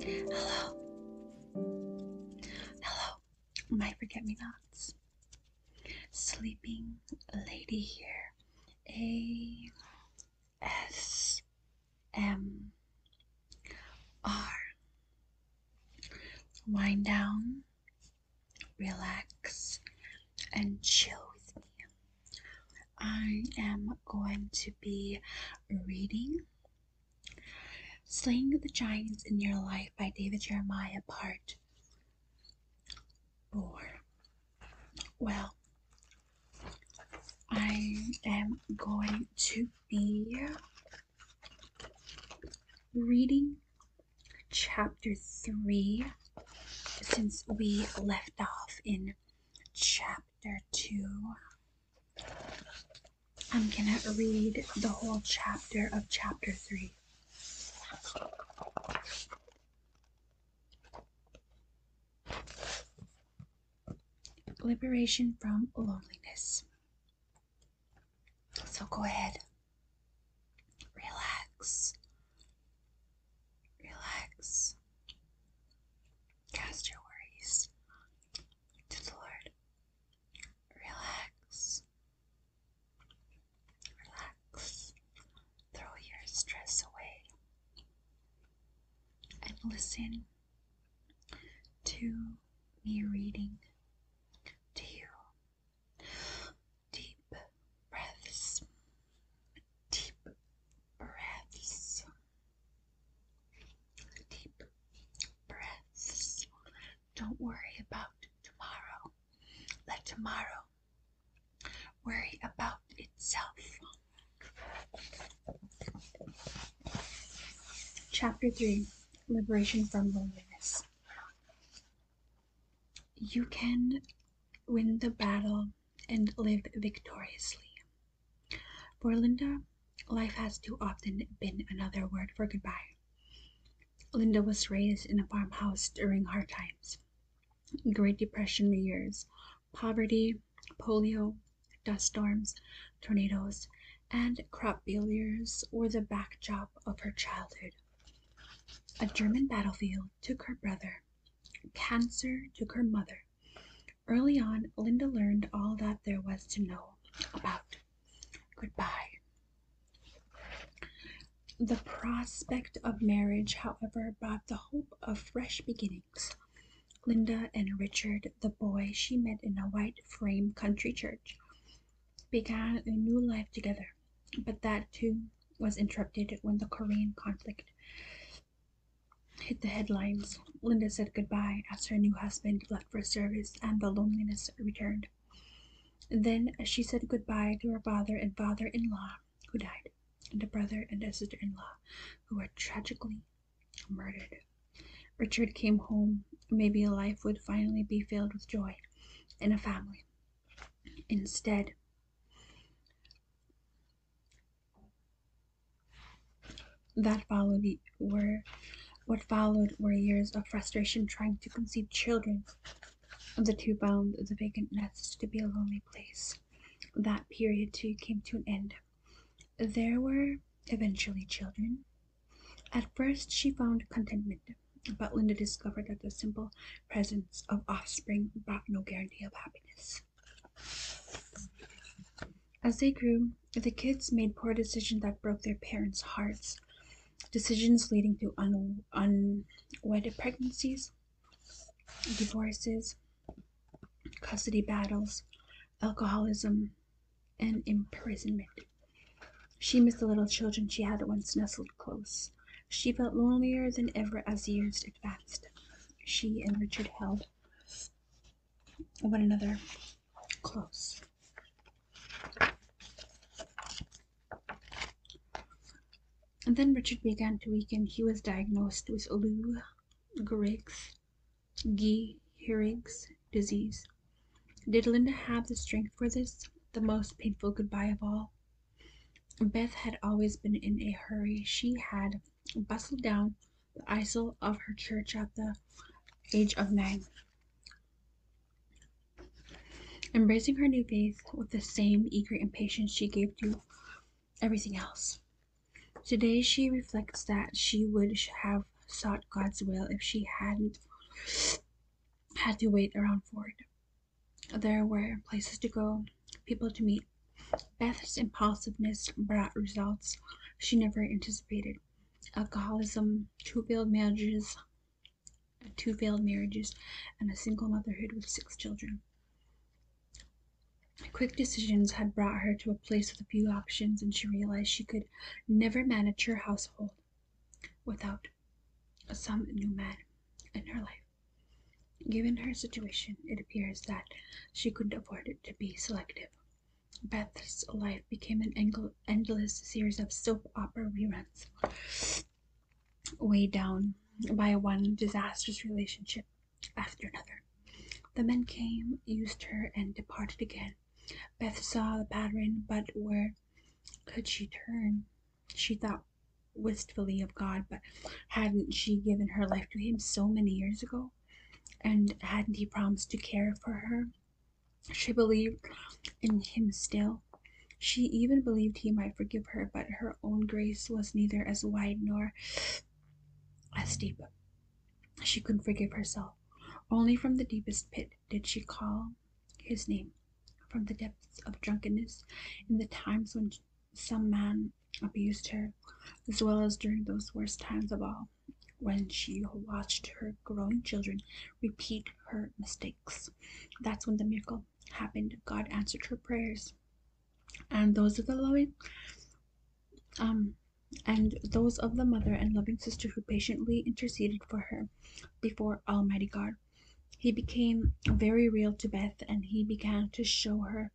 Hello. Hello, my forget me nots. Sleeping lady here. A S M R. Wind down, relax, and chill with me. I am going to be reading Slaying the Giants in Your Life by David Jeremiah, Part 4. Well, I am going to be reading chapter 3 since we left off in chapter 2. I'm gonna read the whole chapter of chapter 3. Liberation from loneliness. So go ahead, relax, relax, cast your worries to the Lord, relax, relax, throw your stress away, and listen to me reading to you. Deep breaths, deep breaths, deep breaths. Don't worry about tomorrow. Let tomorrow worry about itself. Chapter 3 Liberation from Loneliness. You can win the battle and live victoriously. For Linda, life has too often been another word for goodbye. Linda was raised in a farmhouse during hard times, Great Depression years, poverty, polio, Dust storms, tornadoes, and crop failures were the backdrop of her childhood. A German battlefield took her brother. Cancer took her mother. Early on, Linda learned all that there was to know about goodbye. The prospect of marriage, however, brought the hope of fresh beginnings. Linda and Richard, the boy she met in a white frame country church, began a new life together, but that too was interrupted when the Korean conflict hit the headlines. Linda said goodbye as her new husband left for service and the loneliness returned. Then she said goodbye to her father and father in law, who died, and a brother and a sister in law, who were tragically murdered. Richard came home. Maybe life would finally be filled with joy and a family. Instead, that followed were what followed were years of frustration trying to conceive children. The two found the vacant nest to be a lonely place. That period too came to an end. There were eventually children, at first she found contentment, but Linda discovered that the simple presence of offspring brought no guarantee of happiness. As they grew, the kids made poor decisions that broke their parents' hearts, decisions leading to un- unwedded pregnancies, divorces, custody battles, alcoholism, and imprisonment. She missed the little children she had once nestled close. She felt lonelier than ever as years advanced. She and Richard held one another close. And then Richard began to weaken. He was diagnosed with Lou Griggs Gehrig's disease. Did Linda have the strength for this, the most painful goodbye of all? Beth had always been in a hurry. She had bustled down the aisle of her church at the age of nine, embracing her new faith with the same eager impatience she gave to everything else. Today she reflects that she would have sought God's will if she hadn't had to wait around for it. There were places to go, people to meet. Beth's impulsiveness brought results she never anticipated. Alcoholism, two failed marriages, two failed marriages, and a single motherhood with six children. Quick decisions had brought her to a place with a few options, and she realized she could never manage your household without some new man in her life. Given her situation, it appears that she couldn't afford to be selective. Beth's life became an endless series of soap opera reruns, weighed down by one disastrous relationship after another. The men came, used her, and departed again. Beth saw the pattern, but where could she turn? She thought wistfully of God, but hadn't she given her life to Him so many years ago? And hadn't He promised to care for her? She believed in Him still. She even believed He might forgive her, but her own grace was neither as wide nor as deep. She couldn't forgive herself. Only from the deepest pit did she call his name, from the depths of drunkenness, in the times when some man abused her, as well as during those worst times of all, when she watched her growing children repeat her mistakes. That's when the miracle happened. God answered her prayers. And those of the loving, um, and those of the mother and loving sister who patiently interceded for her before Almighty God. He became very real to Beth and he began to show her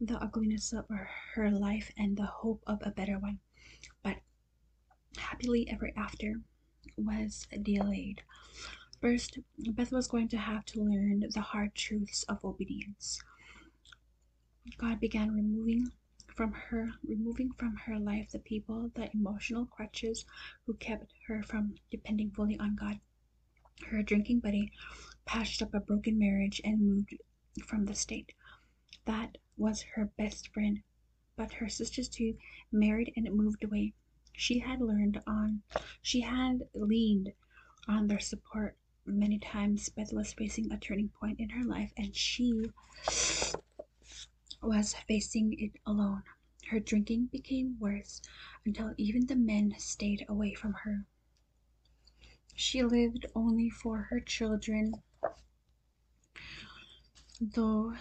the ugliness of her life and the hope of a better one. But happily ever after was delayed. First, Beth was going to have to learn the hard truths of obedience. God began removing from her, removing from her life the people, the emotional crutches who kept her from depending fully on God. Her drinking buddy patched up a broken marriage and moved from the state. That was her best friend, but her sisters too married and moved away. She had learned on, she had leaned on their support many times, but was facing a turning point in her life, and she was facing it alone. Her drinking became worse until even the men stayed away from her. She lived only for her children, though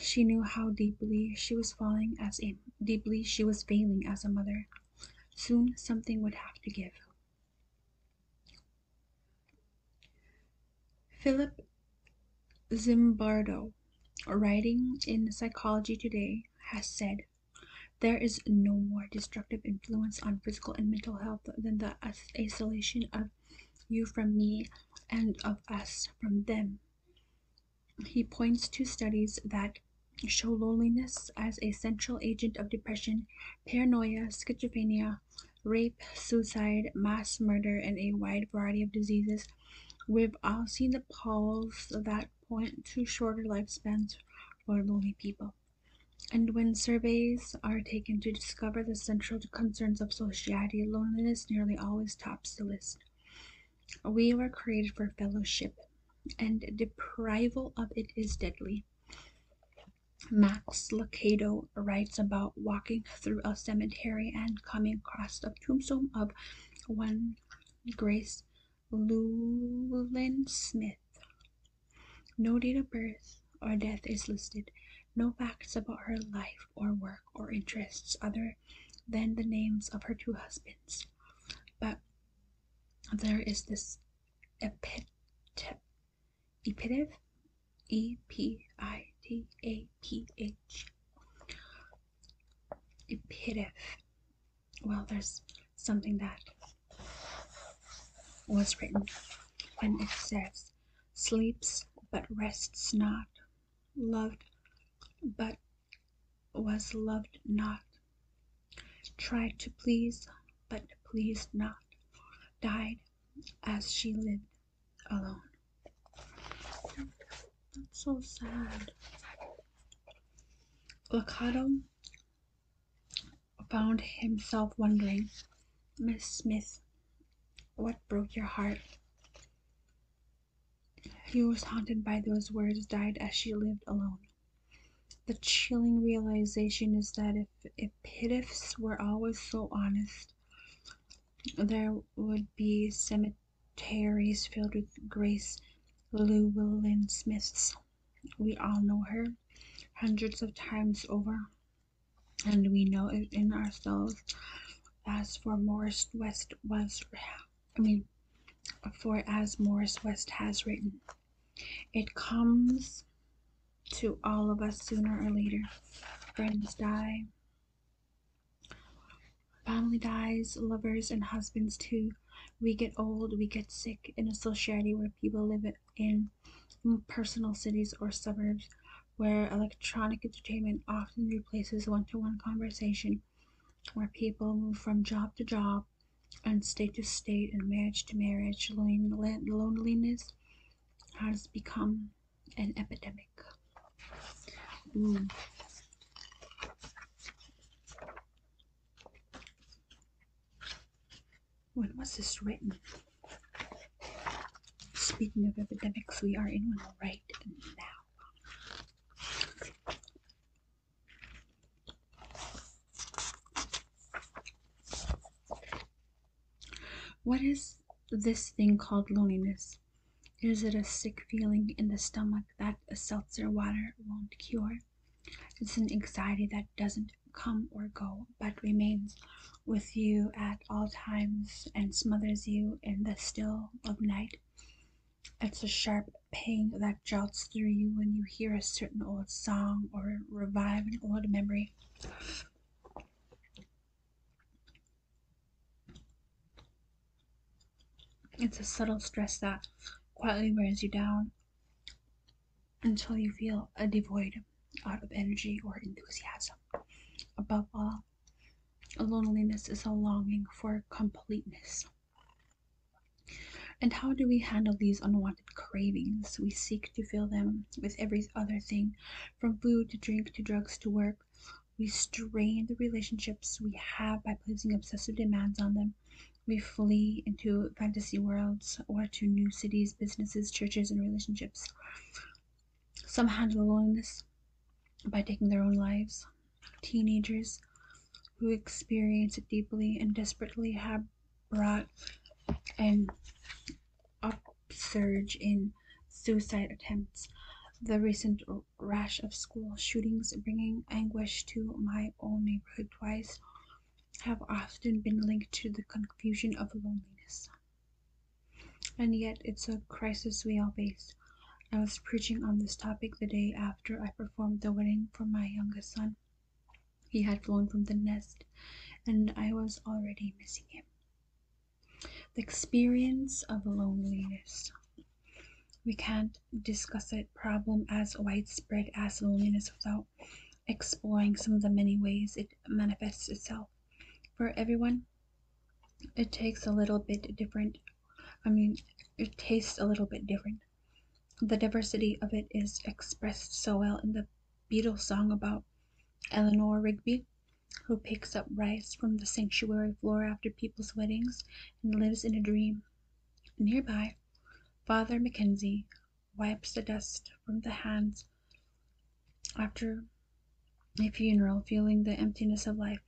she knew how deeply she was falling as deeply she was failing as a mother. Soon something would have to give. Philip Zimbardo, writing in Psychology Today, has said, There is no more destructive influence on physical and mental health than the isolation of you from me and of us from them. He points to studies that show loneliness as a central agent of depression, paranoia, schizophrenia, rape, suicide, mass murder, and a wide variety of diseases. We've all seen the polls that point to shorter lifespans for lonely people. And when surveys are taken to discover the central concerns of society, loneliness nearly always tops the list. We were created for fellowship, and deprival of it is deadly. Max Lucado writes about walking through a cemetery and coming across the tombstone of one Grace Llewellyn Smith. No date of birth or death is listed. No facts about her life or work or interests other than the names of her two husbands. But there is this epitaph Epitaph, E P I T A P H. Epitaph. Well, there's something that was written when it says, sleeps but rests not, loved but was loved not, tried to please but pleased not, died as she lived alone. That's so sad. Lakato found himself wondering, Miss Smith, what broke your heart? He was haunted by those words died as she lived alone. The chilling realization is that if, if pitifs were always so honest, there would be cemeteries filled with Grace Llewellyn Smiths. We all know her hundreds of times over, and we know it in ourselves. As for Morris West was, I mean, for as Morris West has written, it comes to all of us sooner or later. Friends die, family dies, lovers and husbands too. We get old, we get sick in a society where people live in personal cities or suburbs where electronic entertainment often replaces one to one conversation, where people move from job to job and state to state and marriage to marriage. Loneliness has become an epidemic. Mm. When was this written? Speaking of epidemics, we are in one right now. What is this thing called loneliness? Is it a sick feeling in the stomach that a seltzer water won't cure? It's an anxiety that doesn't come or go, but remains with you at all times and smothers you in the still of night. It's a sharp pang that jolts through you when you hear a certain old song or revive an old memory. It's a subtle stress that quietly wears you down until you feel a devoid out of energy or enthusiasm. Above all, loneliness is a longing for completeness. And how do we handle these unwanted cravings? We seek to fill them with every other thing from food to drink to drugs to work, we strain the relationships we have by placing obsessive demands on them. We flee into fantasy worlds or to new cities, businesses, churches, and relationships. Some handle loneliness by taking their own lives. Teenagers who experience it deeply and desperately have brought and upsurge in suicide attempts. The recent rash of school shootings bringing anguish to my own neighborhood twice have often been linked to the confusion of loneliness. And yet, it's a crisis we all face. I was preaching on this topic the day after I performed the wedding for my youngest son. He had flown from the nest, and I was already missing him. The experience of loneliness. We can't discuss a problem as widespread as loneliness without exploring some of the many ways it manifests itself. For everyone, it takes a little bit different. I mean, it tastes a little bit different. The diversity of it is expressed so well in the Beatles song about Eleanor Rigby who picks up rice from the sanctuary floor after people's weddings and lives in a dream. Nearby, Father Mackenzie wipes the dust from the hands after a funeral, feeling the emptiness of life.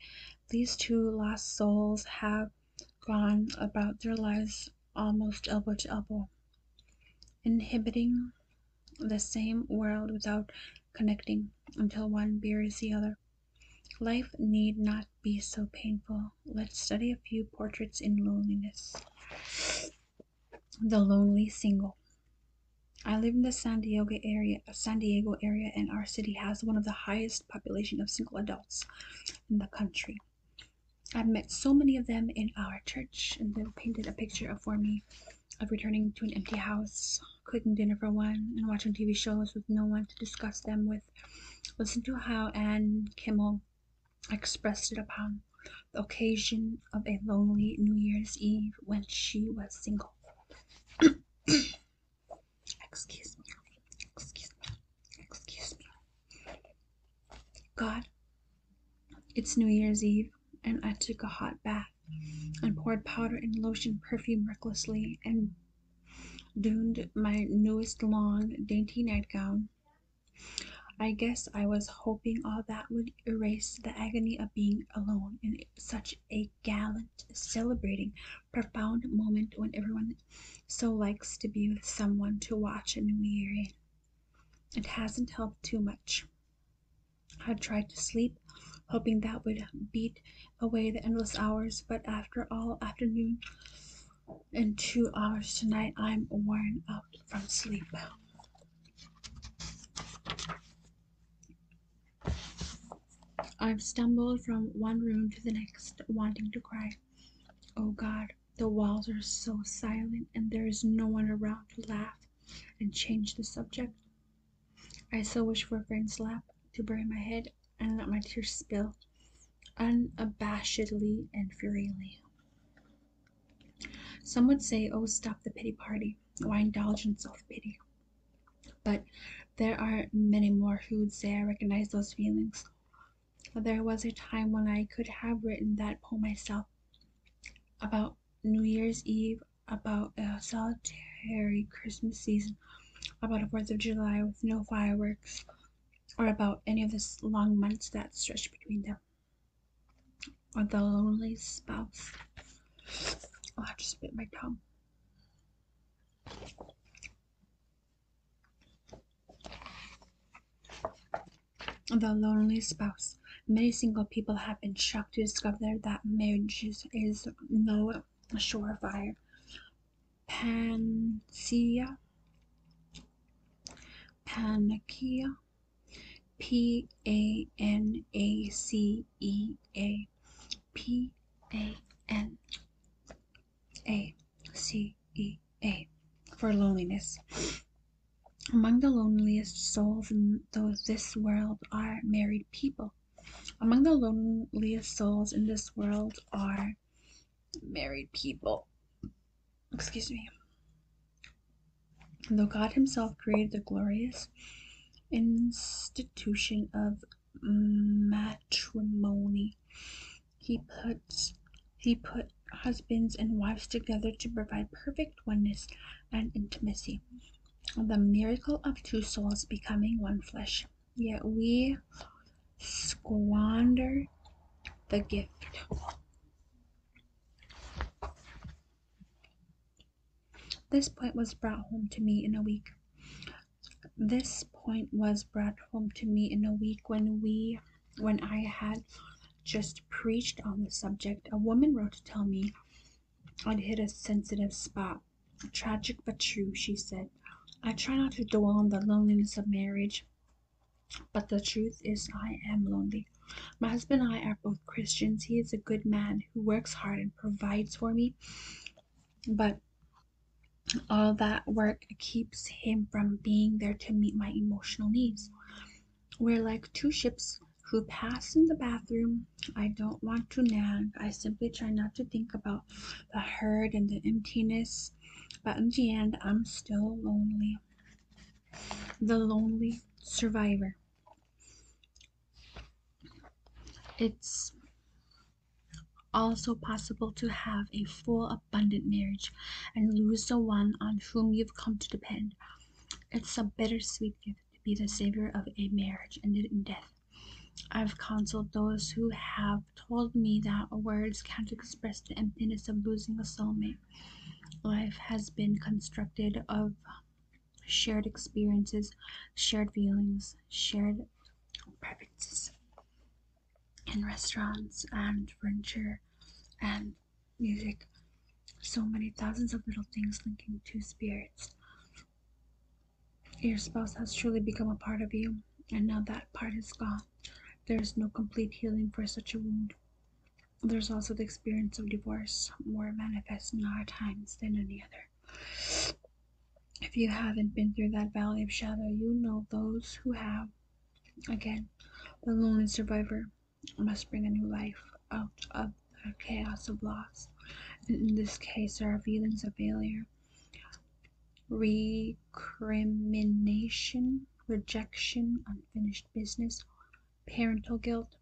These two lost souls have gone about their lives almost elbow to elbow, inhabiting the same world without connecting until one bears the other. Life need not be so painful. Let's study a few portraits in loneliness. The Lonely Single. I live in the San Diego area, San Diego area, and our city has one of the highest population of single adults in the country. I've met so many of them in our church, and they've painted a picture for me of returning to an empty house, cooking dinner for one, and watching TV shows with no one to discuss them with. Listen to how Anne Kimball expressed it upon the occasion of a lonely New Year's Eve when she was single. Excuse me. Excuse me. Excuse me. God, it's New Year's Eve and I took a hot bath and poured powder and lotion perfume recklessly and donned my newest long, dainty nightgown. I guess I was hoping all that would erase the agony of being alone in such a gallant, celebrating, profound moment when everyone so likes to be with someone to watch and weary. It hasn't helped too much. I tried to sleep, hoping that would beat away the endless hours, but after all afternoon and two hours tonight, I'm worn out from sleep. I've stumbled from one room to the next, wanting to cry. Oh God, the walls are so silent, and there is no one around to laugh and change the subject. I so wish for a friend's lap to bury my head and let my tears spill unabashedly and freely. Some would say, oh, stop the pity party. Why indulge in self pity? But there are many more who would say I recognize those feelings. There was a time when I could have written that poem myself about New Year's Eve about a solitary Christmas season, about a Fourth of July with no fireworks, or about any of the long months that stretch between them. Or the lonely spouse. Oh, I just bit my tongue. The lonely spouse. Many single people have been shocked to discover that marriage is no surefire panacea. Panacea. P A N A C E A. P A N A C E A. For loneliness. Among the loneliest souls in this world are married people. Among the loneliest souls in this world are married people. Excuse me. Though God Himself created the glorious institution of matrimony, He puts He put husbands and wives together to provide perfect oneness and intimacy the miracle of two souls becoming one flesh. Yet we squander the gift. This point was brought home to me in a week. This point was brought home to me in a week when we when I had just preached on the subject. A woman wrote to tell me I'd hit a sensitive spot. Tragic but true, she said. I try not to dwell on the loneliness of marriage, but the truth is, I am lonely. My husband and I are both Christians. He is a good man who works hard and provides for me, but all that work keeps him from being there to meet my emotional needs. We're like two ships who pass in the bathroom. I don't want to nag. I simply try not to think about the hurt and the emptiness. But in the end, I'm still lonely. The lonely survivor. It's also possible to have a full, abundant marriage and lose the one on whom you've come to depend. It's a bittersweet gift. To be the savior of a marriage ended in death. I've counseled those who have told me that words can't express the emptiness of losing a soulmate. Life has been constructed of shared experiences, shared feelings, shared preferences in restaurants and furniture and music so many thousands of little things linking two spirits. Your spouse has truly become a part of you, and now that part is gone. There is no complete healing for such a wound. There's also the experience of divorce, more manifest in our times than any other. If you haven't been through that valley of shadow, you know those who have. Again, the lonely survivor must bring a new life out of the chaos of loss. in this case, there are feelings of failure, recrimination, rejection, unfinished business, parental guilt,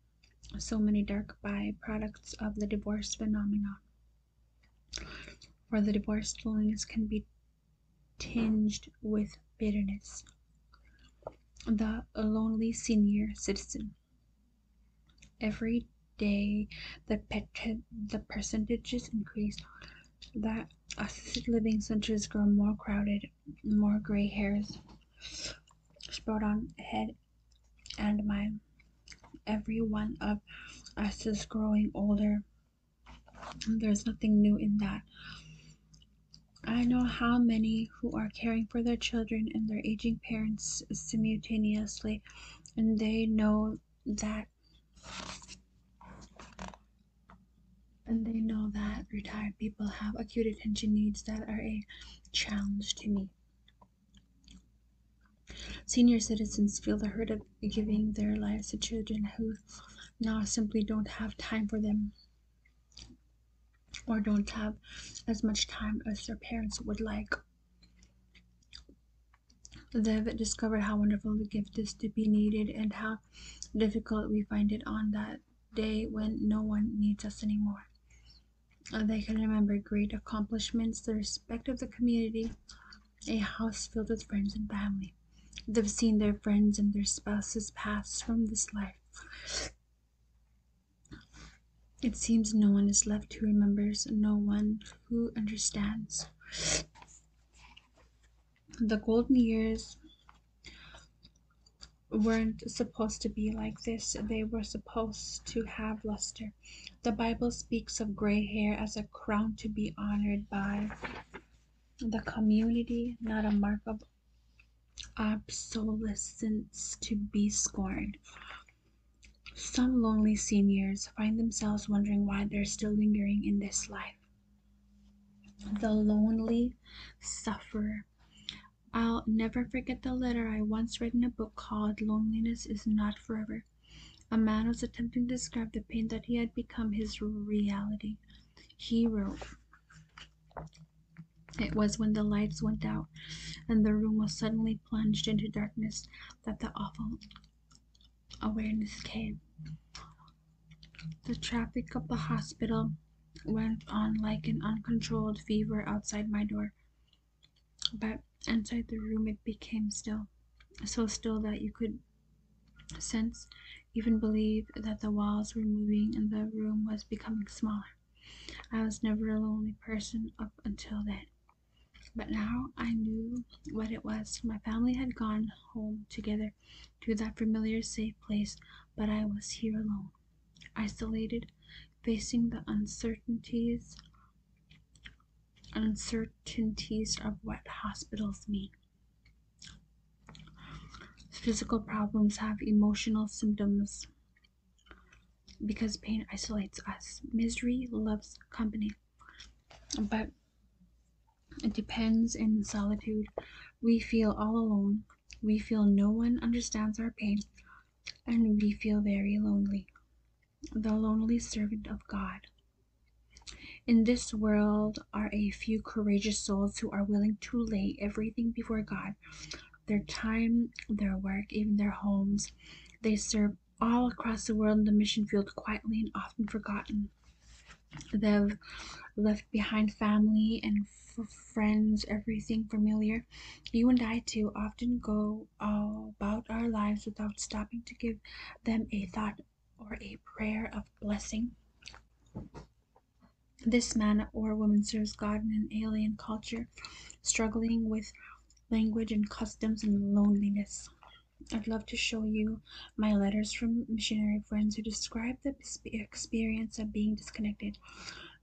so many dark byproducts of the divorce phenomenon. For the divorced, loneliness can be tinged with bitterness. The lonely senior citizen every day the pet- the percentages increase that assisted living centers grow more crowded more gray hairs sprout on head and mind every one of us is growing older there's nothing new in that i know how many who are caring for their children and their aging parents simultaneously, and they know that and they know that retired people have acute attention needs that are a challenge to meet. Senior citizens feel the hurt of giving their lives to children who now simply don't have time for them or don't have as much time as their parents would like. They've discovered how wonderful the gift is to be needed and how difficult we find it on that day when no one needs us anymore. They can remember great accomplishments, the respect of the community, a house filled with friends and family. They've seen their friends and their spouses pass from this life. It seems no one is left who remembers, no one who understands. The golden years weren't supposed to be like this, they were supposed to have luster. The Bible speaks of gray hair as a crown to be honored by the community, not a mark of obsolescence to be scorned. Some lonely seniors find themselves wondering why they're still lingering in this life. The lonely suffer. I'll never forget the letter I once read in a book called Loneliness is Not Forever. A man was attempting to describe the pain that he had become his reality. He wrote, it was when the lights went out and the room was suddenly plunged into darkness that the awful awareness came. The traffic of the hospital went on like an uncontrolled fever outside my door, but inside the room it became still, so still that you could sense, even believe, that the walls were moving and the room was becoming smaller. I was never a lonely person up until then. But now I knew what it was. My family had gone home together to that familiar, safe place, but I was here alone, isolated, facing the uncertainties uncertainties of what hospitals mean. Physical problems have emotional symptoms because pain isolates us. Misery loves company, but it depends in solitude. We feel all alone. We feel no one understands our pain, and we feel very lonely. The lonely servant of God. In this world are a few courageous souls who are willing to lay everything before God their time, their work, even their homes. They serve all across the world in the mission field quietly and often forgotten. They've left behind family and friends, everything familiar. You and I, too, often go about our lives without stopping to give them a thought or a prayer of blessing. This man or woman serves God in an alien culture struggling with language and customs and loneliness. I'd love to show you my letters from missionary friends who describe the experience of being disconnected.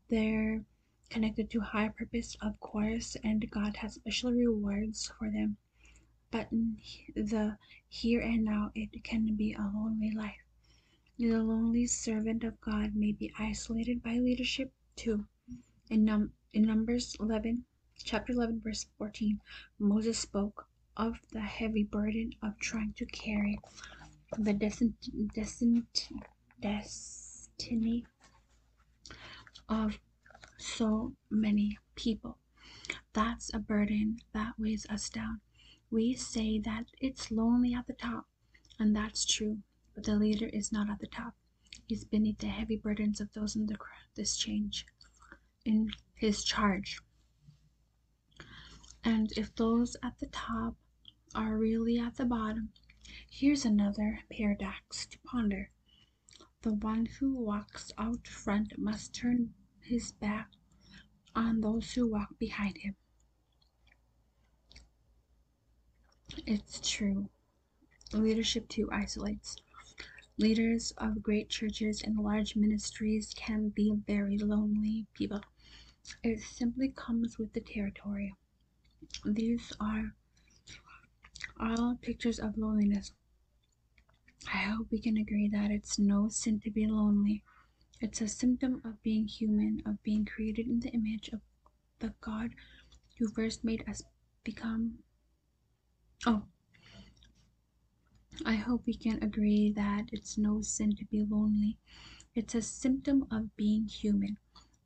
They're connected to high purpose, of course, and God has special rewards for them. But in the here and now, it can be a lonely life. The lonely servant of God may be isolated by leadership, too. In, num- in Numbers 11, chapter 11, verse 14, Moses spoke of the heavy burden of trying to carry the destin- destin- destiny of so many people. That's a burden that weighs us down. We say that it's lonely at the top, and that's true, but the leader is not at the top. He's beneath the heavy burdens of those in the, this change, in his charge. And if those at the top are really at the bottom, here's another paradox to ponder. The one who walks out front must turn his back on those who walk behind him. It's true. Leadership too isolates. Leaders of great churches and large ministries can be very lonely people. It simply comes with the territory. These are all pictures of loneliness. I hope we can agree that it's no sin to be lonely. It's a symptom of being human, of being created in the image of the god who first made us become. Oh, I hope we can agree that it's no sin to be lonely. It's a symptom of being human,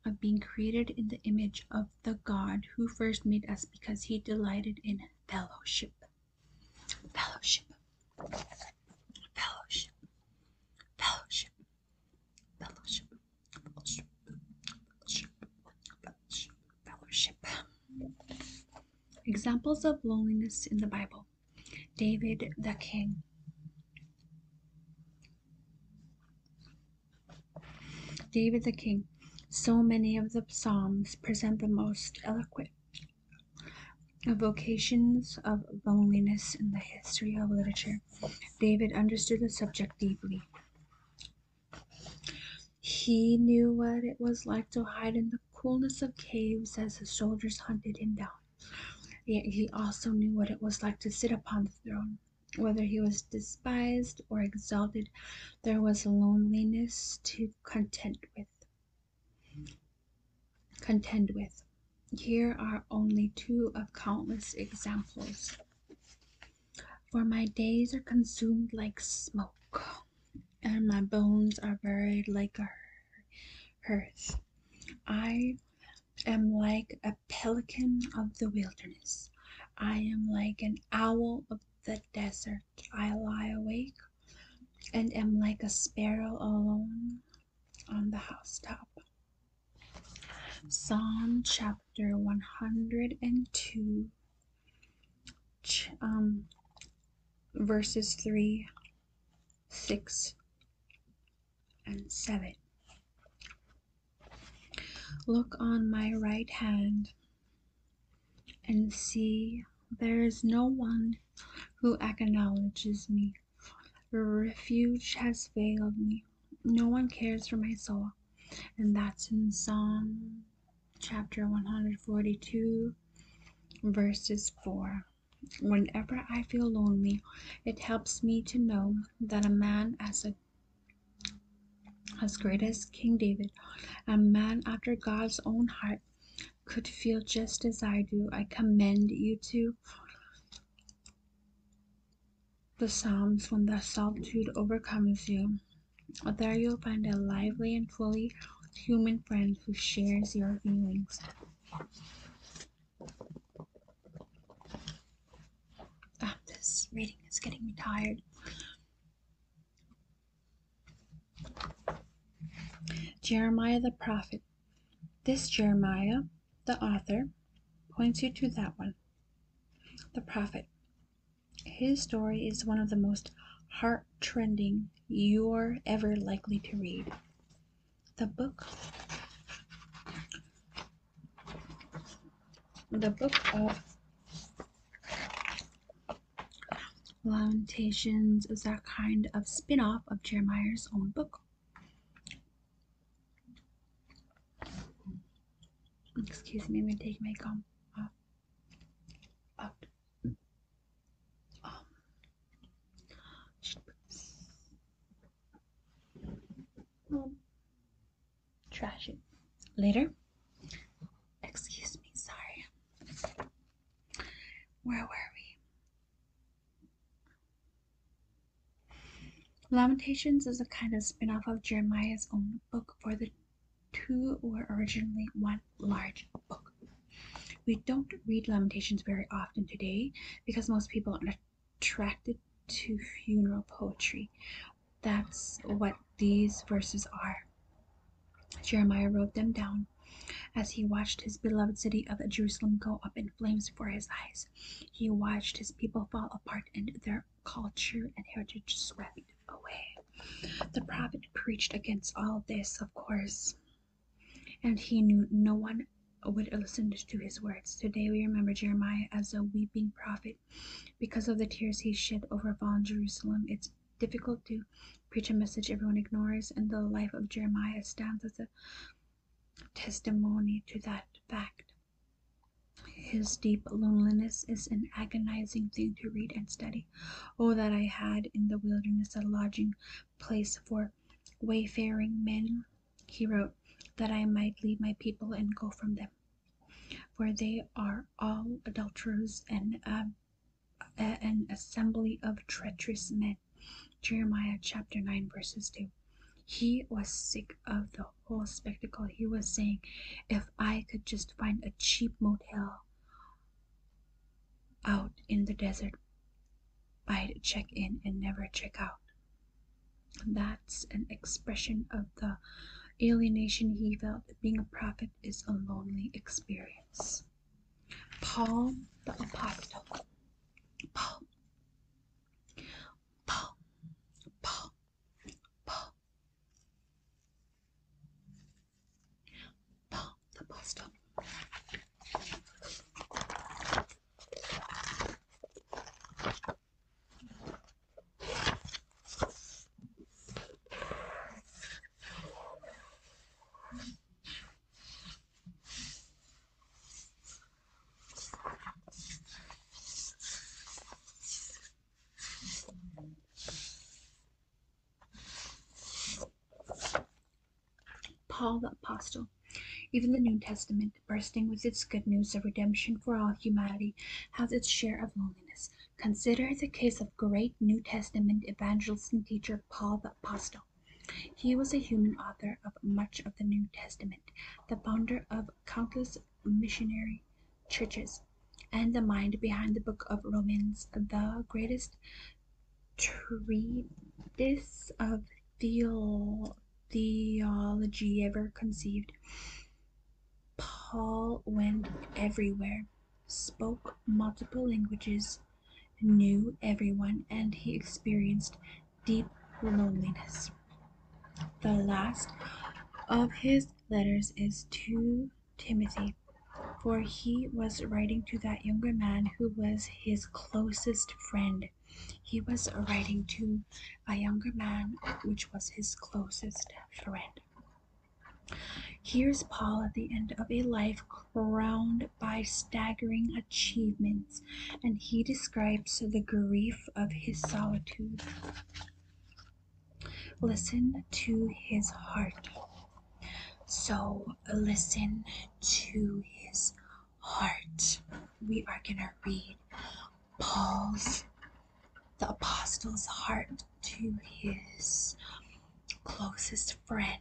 of being created in the image of the God who first made us because he delighted in fellowship. Fellowship. Fellowship. Fellowship. Fellowship, fellowship, fellowship, fellowship, Examples of loneliness in the Bible David the king. David the king. So many of the Psalms present the most eloquent evocations of loneliness in the history of literature. David understood the subject deeply. He knew what it was like to hide in the coolness of caves as his soldiers hunted him down. Yet he also knew what it was like to sit upon the throne. Whether he was despised or exalted, there was loneliness to contend with. Contend with. Here are only two of countless examples. For my days are consumed like smoke, and my bones are buried like a hearth. I am like a pelican of the wilderness. I am like an owl of the desert. I lie awake and am like a sparrow alone on the housetop. Psalm chapter 102, um, verses 3, 6, and 7. Look on my right hand and see there is no one who acknowledges me. refuge has failed me. No one cares for my soul. And that's in Psalm chapter 142, verses 4. Whenever I feel lonely, it helps me to know that a man as a as great as King David, a man after God's own heart, could feel just as I do. I commend you to the psalms when the solitude overcomes you. There you'll find a lively and fully human friend who shares your feelings. Ah, this reading is getting me tired. Jeremiah the prophet. This Jeremiah the author points you to that one. The Prophet. His story is one of the most heartrending you're ever likely to read. The book. The book of Lamentations is a kind of spin off of Jeremiah's own book. Excuse me, I'm gonna take my gum off. Out. Um. Um. Trash it later. Excuse me, sorry. Where were we? Lamentations is a kind of spin off of Jeremiah's own book, for the two were originally one large book. We don't read Lamentations very often today because most people are not attracted to funeral poetry. That's what these verses are. Jeremiah wrote them down as he watched his beloved city of Jerusalem go up in flames before his eyes. He watched his people fall apart and their culture and heritage swept away. The prophet preached against all this, of course, and he knew no one would listen to his words. Today we remember Jeremiah as a weeping prophet because of the tears he shed over fallen Jerusalem. It's difficult to preach a message everyone ignores, and the life of Jeremiah stands as a testimony to that fact. His deep loneliness is an agonizing thing to read and study. Oh, that I had in the wilderness a lodging place for wayfaring men, he wrote, that I might leave my people and go from them. For they are all adulterers and uh, an assembly of treacherous men. Jeremiah chapter 9, verses 2. He was sick of the whole spectacle. He was saying, If I could just find a cheap motel out in the desert, I'd check in and never check out. That's an expression of the alienation he felt. Being a prophet is a lonely experience. Paul the Apostle. Paul. Paul. Paul. Paul. Paul the Postal. Paul the Apostle. Even the New Testament, bursting with its good news of redemption for all humanity, has its share of loneliness. Consider the case of great New Testament evangelist and teacher Paul the Apostle. He was a human author of much of the New Testament, the founder of countless missionary churches, and the mind behind the book of Romans, the greatest treatise of theology ever conceived. Paul went everywhere, spoke multiple languages, knew everyone, and he experienced deep loneliness. The last of his letters is to Timothy, for he was writing to that younger man who was his closest friend. He was writing to a younger man which was his closest friend. Here's Paul at the end of a life crowned by staggering achievements, and he describes the grief of his solitude. Listen to his heart. So listen to his heart. We are going to read Paul's, the apostle's heart to his closest friend.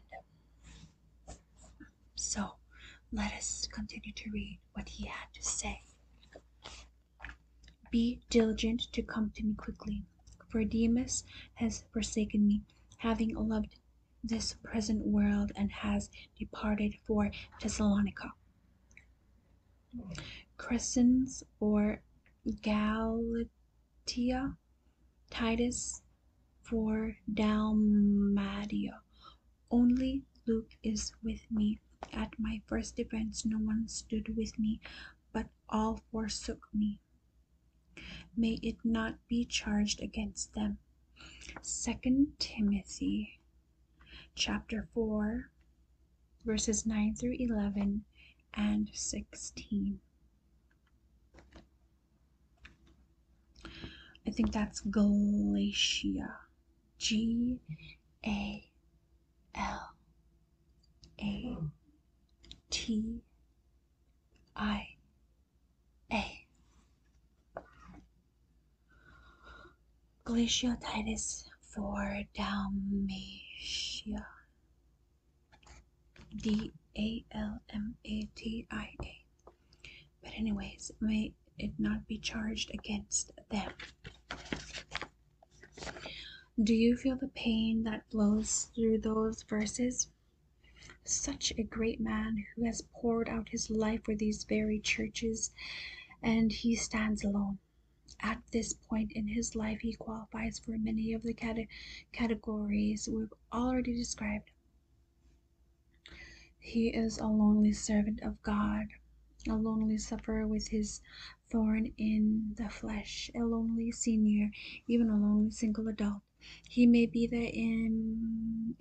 So let us continue to read what he had to say. Be diligent to come to me quickly, for Demas has forsaken me, having loved this present world, and has departed for Thessalonica. Crescens or Galatia, Titus for Dalmatia, only Luke is with me. At my first defense, no one stood with me, but all forsook me. May it not be charged against them. Second Timothy chapter 4 verses 9 through 11 and 16. I think that's Galatia. G A L A T I A. Glaciotitis for Dalmatia. D A L M A T I A. But anyways, my it not be charged against them. Do you feel the pain that flows through those verses? Such a great man who has poured out his life for these very churches, and he stands alone. At this point in his life, he qualifies for many of the categories we've already described. He is a lonely servant of God a lonely sufferer with his thorn in the flesh, a lonely senior, even a lonely single adult. He may be the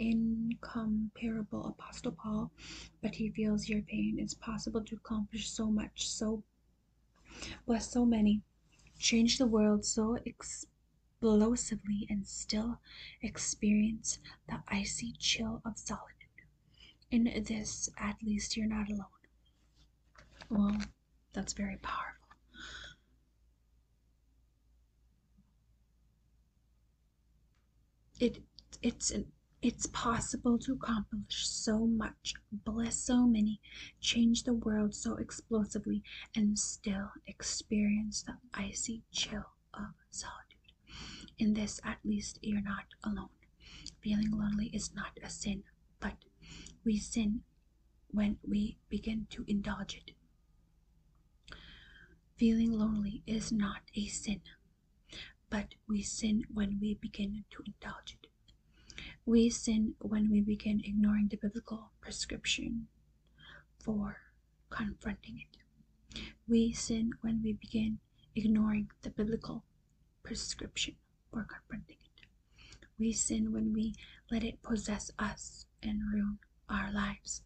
incomparable Apostle Paul, but he feels your pain. It's possible to accomplish so much, so bless so many, change the world so explosively, and still experience the icy chill of solitude. In this, at least you're not alone. Well, that's very powerful. It it's it's possible to accomplish so much, bless so many, change the world so explosively, and still experience the icy chill of solitude. In this, at least, you're not alone. Feeling lonely is not a sin, but we sin when we begin to indulge it. Feeling lonely is not a sin, but we sin when we begin to indulge it. We sin when we begin ignoring the biblical prescription for confronting it. We sin when we begin ignoring the biblical prescription or confronting it. We sin when we let it possess us and ruin our lives.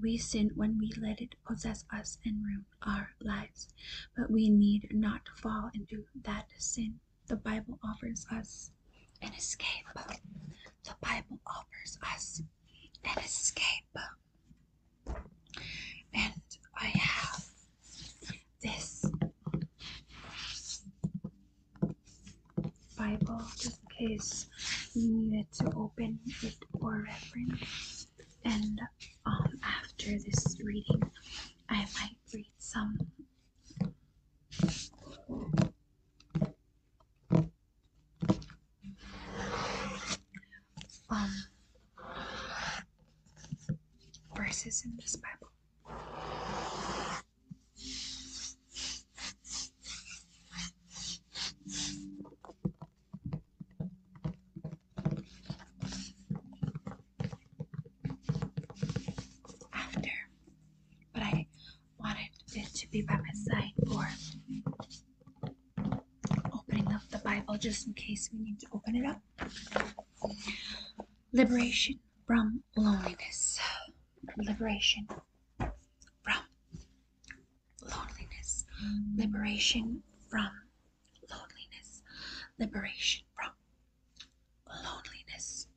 We sin when we let it possess us and ruin our lives. But we need not fall into that sin. The Bible offers us an escape. The Bible offers us an escape. And I have this Bible just in case you needed to open it for reference. And um, after this reading, I might read some um verses in this Bible. After, but I wanted it to be by my side for opening up the Bible just in case we need to open it up. Liberation from loneliness. Liberation from loneliness. Liberation from loneliness. Liberation from loneliness.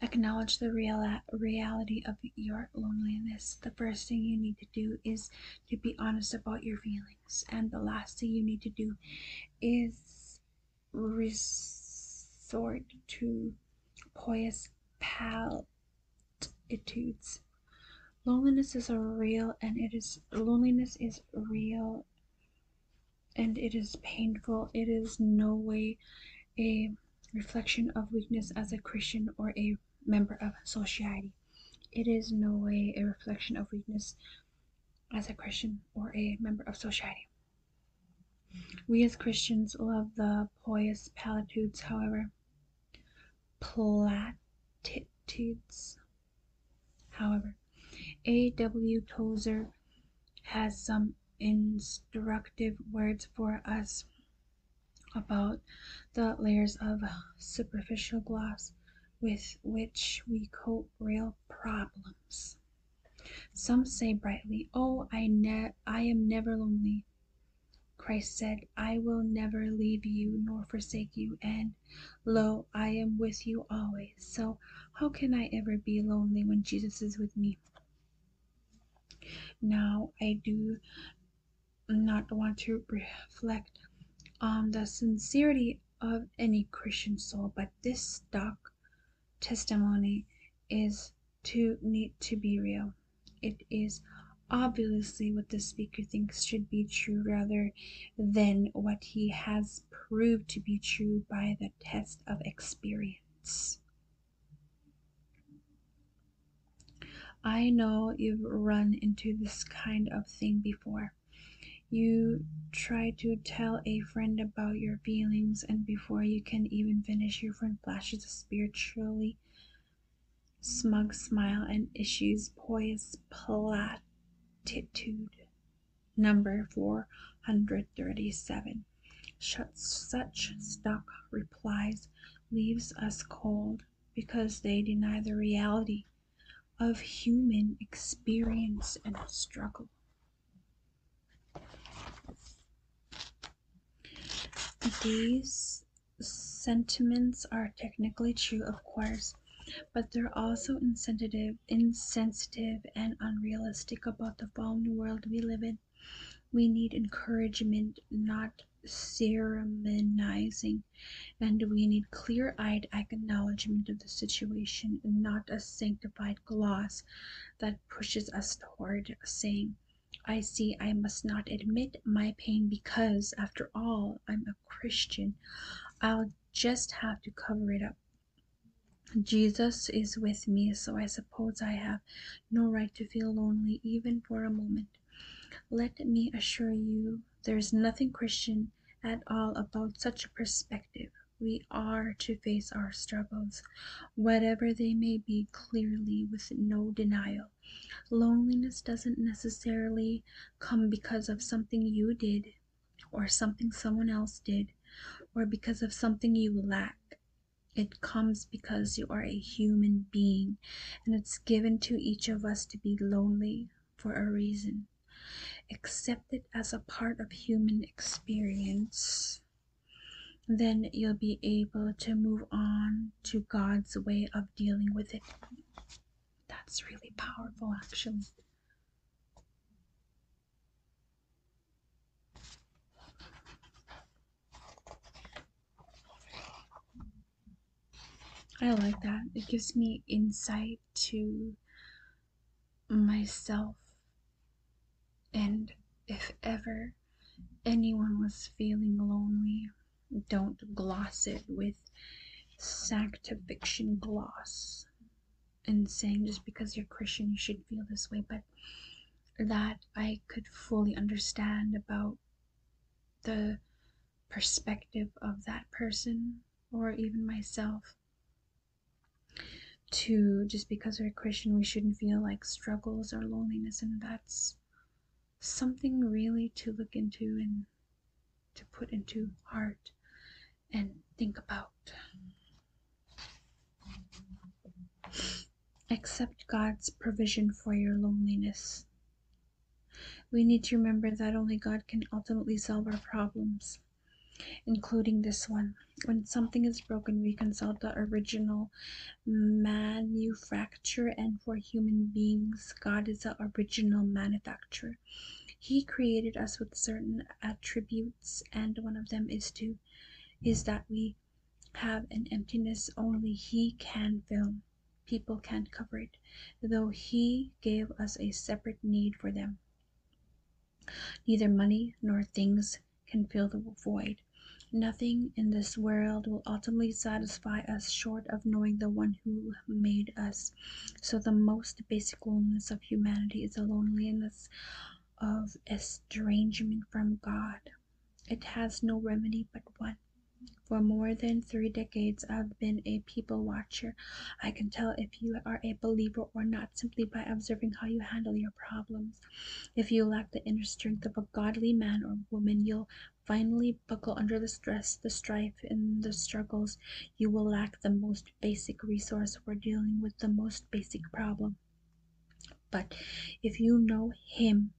Acknowledge the reality of your loneliness. The first thing you need to do is to be honest about your feelings, and the last thing you need to do is resort to pious platitudes. Loneliness is real, and it is loneliness is real, and it is painful. It is no way a reflection of weakness as a Christian or a member of society. It is no way a reflection of weakness as a Christian or a member of society. We as Christians love the pious platitudes, however, platitudes, however, a. W. Tozer has some instructive words for us about the layers of superficial gloss with which we cope real problems. Some say brightly, Oh, I, ne- I am never lonely. Christ said, I will never leave you nor forsake you, and lo, I am with you always so, how can I ever be lonely when Jesus is with me? Now, I do not want to reflect on the sincerity of any Christian soul, but this stock testimony is too neat to be real. It is obviously what the speaker thinks should be true rather than what he has proved to be true by the test of experience. I know you've run into this kind of thing before. You try to tell a friend about your feelings, and before you can even finish, your friend flashes a spiritually smug smile and issues poised platitude Number 437. Such stock replies leaves us cold because they deny the reality of human experience and struggle. These sentiments are technically true, of course, but they're also insensitive insensitive, and unrealistic about the fallen world we live in. We need encouragement, not sermonizing, and we need clear eyed acknowledgement of the situation, not a sanctified gloss that pushes us toward saying, I see I must not admit my pain because, after all, I'm a Christian. I'll just have to cover it up. Jesus is with me, so I suppose I have no right to feel lonely even for a moment. Let me assure you, there is nothing Christian at all about such a perspective. We are to face our struggles, whatever they may be, clearly with no denial. Loneliness doesn't necessarily come because of something you did, or something someone else did, or because of something you lack. It comes because you are a human being, and it's given to each of us to be lonely for a reason. Accept it as a part of human experience. Then you'll be able to move on to God's way of dealing with it. That's really powerful, actually. I like that. It gives me insight to myself. And if ever anyone was feeling lonely, don't gloss it with sanctification gloss and saying just because you're Christian, you should feel this way, but that I could fully understand about the perspective of that person or even myself. To just because we're Christian, we shouldn't feel like struggles or loneliness, and that's something really to look into and to put into heart and think about. Accept God's provision for your loneliness. We need to remember that only God can ultimately solve our problems, including this one. When something is broken, we consult the original manufacturer, and for human beings, God is the original manufacturer. He created us with certain attributes and one of them is to is that we have an emptiness only he can fill people can't cover it though he gave us a separate need for them neither money nor things can fill the void nothing in this world will ultimately satisfy us short of knowing the one who made us so the most basic loneliness of humanity is a loneliness of estrangement from God. It has no remedy but one. For more than three decades, I've been a people watcher. I can tell if you are a believer or not simply by observing how you handle your problems. If you lack the inner strength of a godly man or woman, you'll finally buckle under the stress, the strife, and the struggles. You will lack the most basic resource. We're dealing with the most basic problem. But if you know him,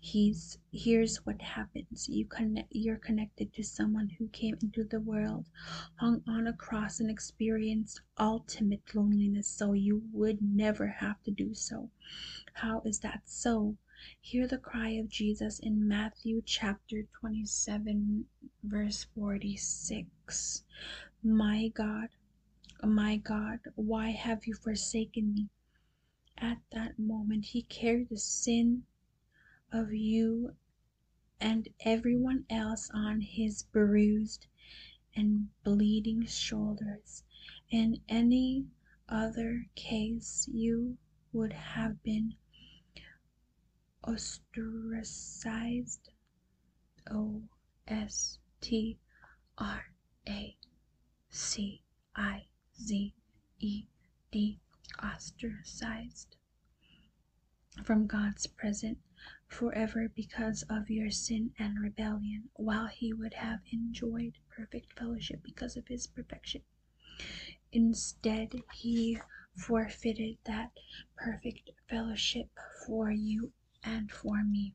he's here's what happens. You connect you're connected to someone who came into the world, hung on a cross and experienced ultimate loneliness, so you would never have to do so. How is that so? Hear the cry of Jesus in Matthew chapter 27 verse 46 My God, my God, why have you forsaken me? At that moment, he carried the sin of you and everyone else on his bruised and bleeding shoulders. In any other case, you would have been ostracized O S T R A C I Z E D ostracized from God's presence forever because of your sin and rebellion, while he would have enjoyed perfect fellowship because of his perfection. Instead, he forfeited that perfect fellowship for you and for me.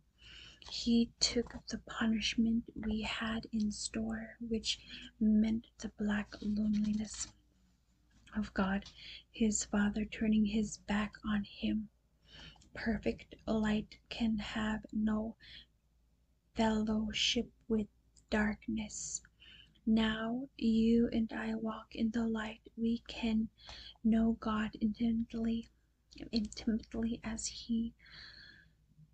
He took the punishment we had in store, which meant the black loneliness of God, his Father, turning his back on him. Perfect light can have no fellowship with darkness. Now you and I walk in the light, we can know God intimately, intimately as He,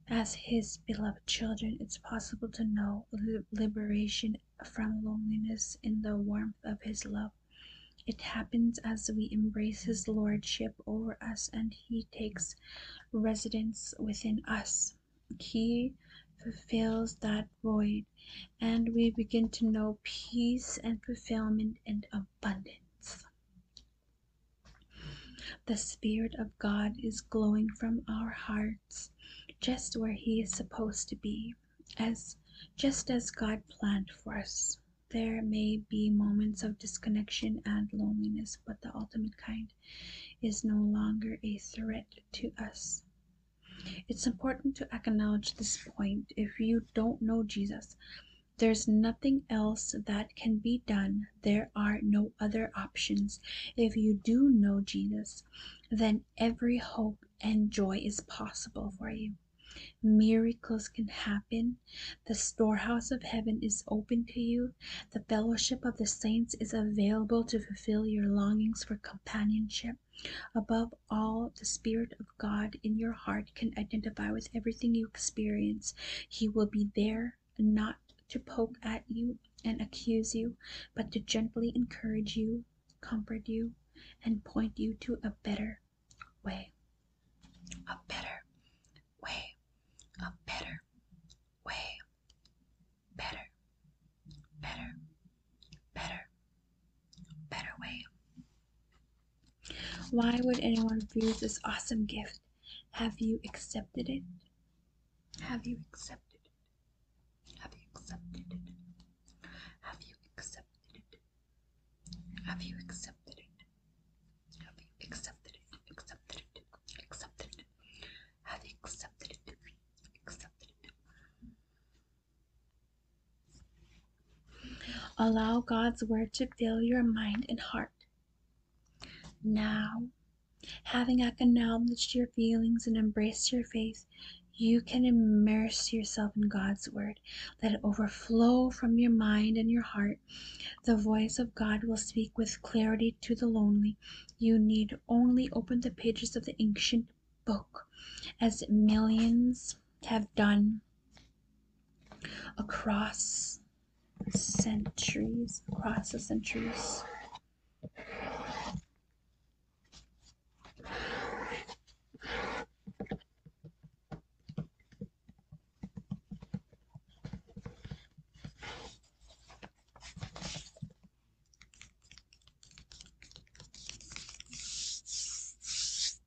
as His beloved children, it's possible to know liberation from loneliness in the warmth of His love. It happens as we embrace His lordship over us and He takes residence within us. He fulfills that void, and we begin to know peace and fulfillment and abundance. The Spirit of God is glowing from our hearts just where He is supposed to be, as just as God planned for us. There may be moments of disconnection and loneliness, but the ultimate kind is no longer a threat to us. It's important to acknowledge this point. If you don't know Jesus, there's nothing else that can be done. There are no other options. If you do know Jesus, then every hope and joy is possible for you. Miracles can happen. The storehouse of heaven is open to you. The fellowship of the saints is available to fulfill your longings for companionship prayer. Above all, the Spirit of God in your heart can identify with everything you experience. He will be there not to poke at you and accuse you, but to gently encourage you, comfort you, and point you to a better way. A better way. A better way. Better. Better. Better better way. Why would anyone refuse this awesome gift? Have you accepted it? Have you accepted it? Have you accepted it? Have you accepted it? Have you accepted it? Have you accepted it? Accepted it? Accepted it? Have you accepted it? Accepted it? Allow God's word to fill your mind and heart. Now, having acknowledged your feelings and embraced your faith, you can immerse yourself in God's word. Let it overflow from your mind and your heart. The voice of God will speak with clarity to the lonely. You need only open the pages of the ancient book, as millions have done across centuries, across the centuries.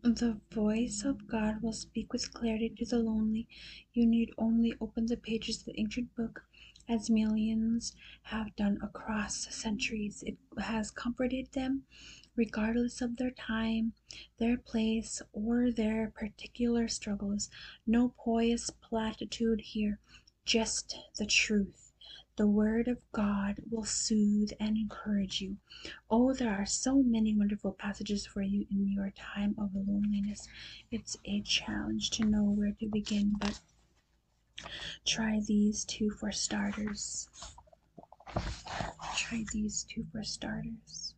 The voice of God will speak with clarity to the lonely. You need only open the pages of the ancient book, as millions have done across centuries. It has comforted them, regardless of their time, their place, or their particular struggles. No pious platitudes here, just the truth. The Word of God will soothe and encourage you. Oh, there are so many wonderful passages for you in your time of loneliness. It's a challenge to know where to begin, but try these two for starters. Try these two for starters